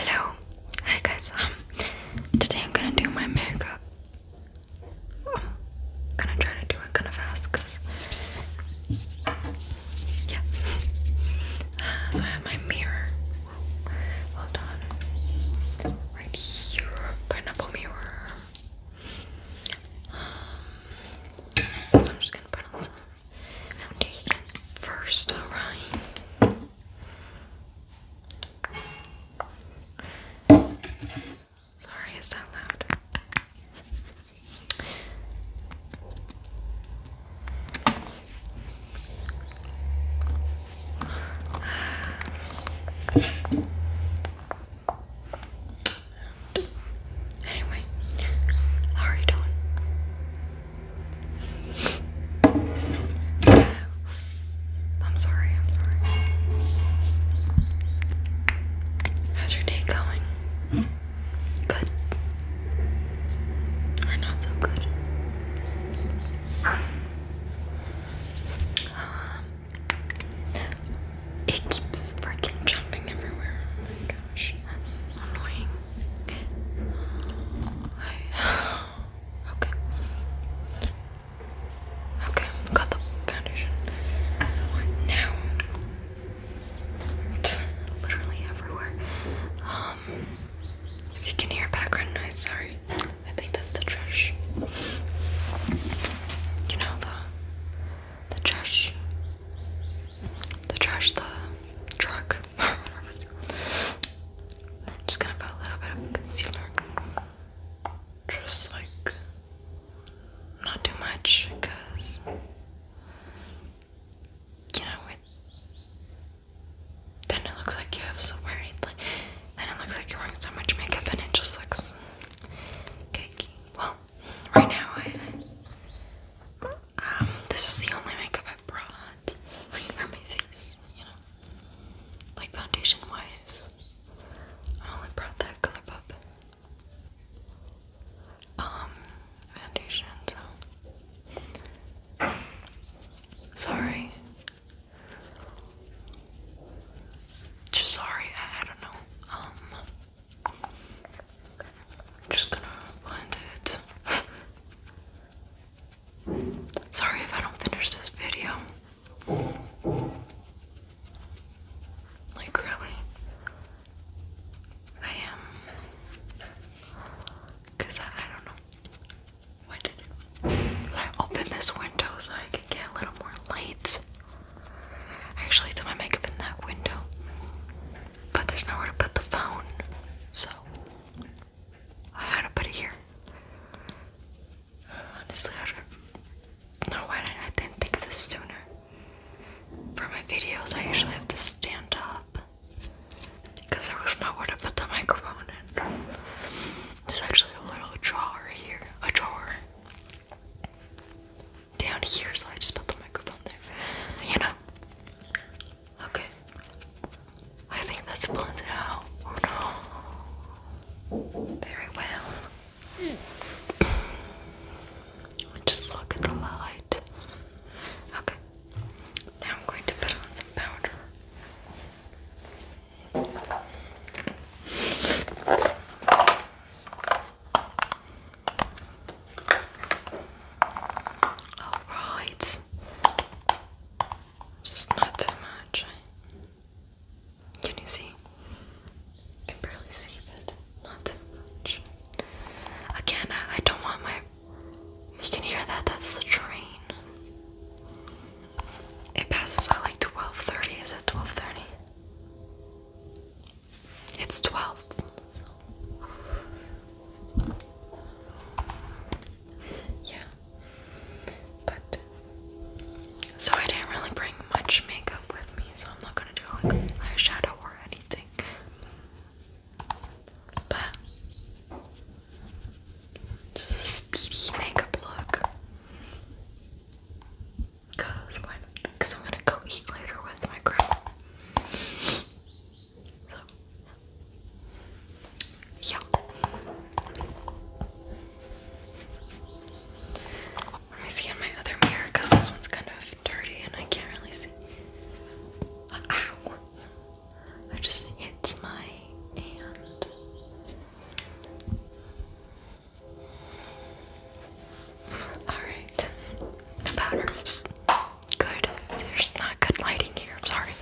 Hello, hi guys. Um, today I'm gonna do my makeup. I'm gonna try to do it kind of fast, cause yeah. so I have my mirror. Hold on, right here, pineapple mirror. Um, so I'm just gonna put on some foundation first. All right. Sorry, is that loud? anyway, how are you doing? I'm sorry, I'm sorry. How's your day going? Good. Or not so good. Um, it keeps freaking jumping everywhere. Oh my gosh. Annoying. I, okay. Okay, got the foundation. Now, literally everywhere. Um, if you can hear background noise, sorry. I think that's the trash. You know the the trash the trash, the truck, just gonna put a little bit of concealer. Just like not too much, you know it. Then it looks like you have so much makeup, and it just looks cakey. Well, right now I um, this is the only makeup I brought, for my face, you know, like foundation wise. I only brought that ColourPop um foundation, so sorry. Just sorry, I don't know. Um, I'm just gonna blend it. Sorry if I don't finish this video. Like, really? I am. Because I, don't know. When did I open this window so get a little more light. I actually do my makeup in that window, but there's nowhere to put the phone, so I had to put it here. Honestly, I don't know why I didn't think of this sooner. For my videos, I usually have to stand up because there was nowhere to put the microphone in. There's actually a little drawer here, a drawer down here, so I just put the microphone there. You know? Okay. I think that's blended out. Oh no. Very well. Hmm. Just look at the light. Okay. Now I'm going to put on some powder. All right, just not too much. Can you see? can barely see, but not too much. Again, I don't want my. You can hear that. That's the train. It passes out like 12.30. Is it 12.30? It's 12. Yeah. But. So I didn't really bring much makeup with me, so I'm not gonna do like eyeshadow or anything. But. Just a speedy makeup look. Cause Cause I'm gonna go eat later with my grandma. So yeah. Let me see in my other mirror, cause this one's kind of dirty and I can't really see. Ow! I just hits my hand. Alright. powder's good. There's not good lighting here, I'm sorry.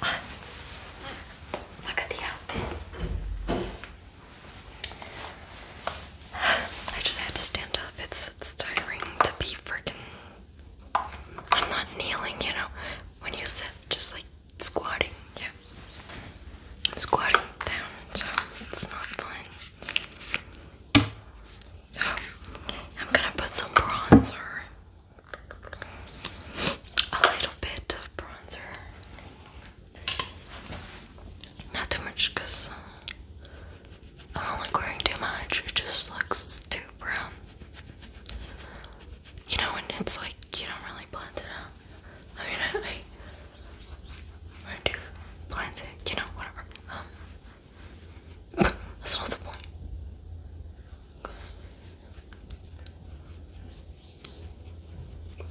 Uh, look at the outfit. I just had to stand up. It's it's tiring to be freaking I'm not kneeling, you know. When you sit, just like squatting, yeah. I'm squatting down, so it's not fun. Oh, I'm gonna put some bronzer. A little bit of bronzer. Not too much, because I don't like wearing too much. It just looks too brown. You know, and it's like you don't really plant it out. I mean, I, I, do plant it, you know, whatever. Um, that's not the point.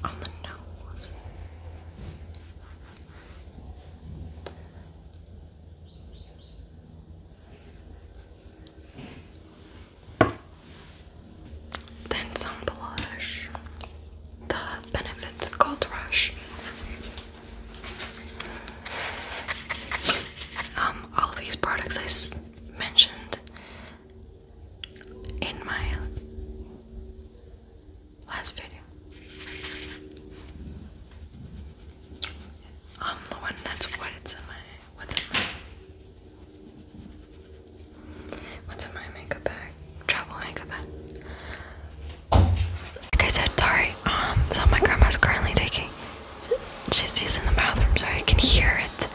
On the nose. Then some blush. The benefits of Gold Rush. Um, all of these products I s mentioned in my last video. I'm the one that's what it's in my what's in my what's in my makeup bag? Travel makeup bag. Like I said, sorry, um, so my grandma's currently taking she's using the bathroom so I can hear it.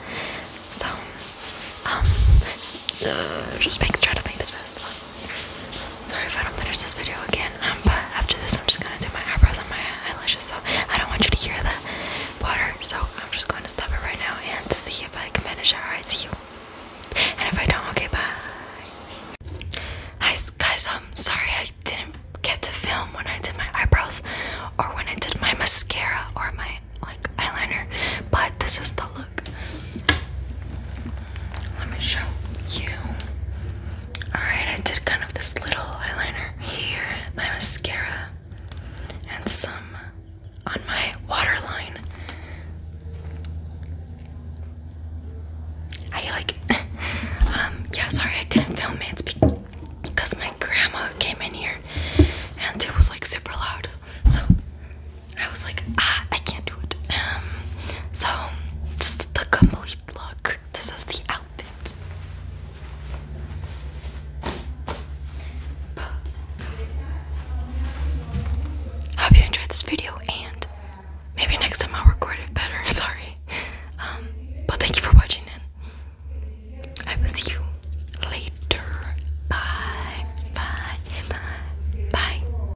So um uh, just make try to make this fast. Sorry if I don't finish this video again. Um, but after this, I'm just gonna do my eyebrows and my eyelashes. So I don't want you to hear the water. So I'm just going to stop it right now and see if I can finish it. Alright, see you. And if I don't, okay, bye. guys. I'm um, sorry I didn't get to film when I did my eyebrows or when I did my mascara or my like eyeliner, but this is the look. Let me show you. Alright, I did kind of this little eyeliner here, my mascara, and some on my waterline. I like, um, yeah, sorry I couldn't film it. because my grandma came in here and it was like super loud. So I was like, ah, I can't do. Um, so this is the complete look. This is the outfit. hope you enjoyed this video, and maybe next time i record it better. Sorry. Um, but thank you for watching, and I will see you later. Bye. Bye. Bye.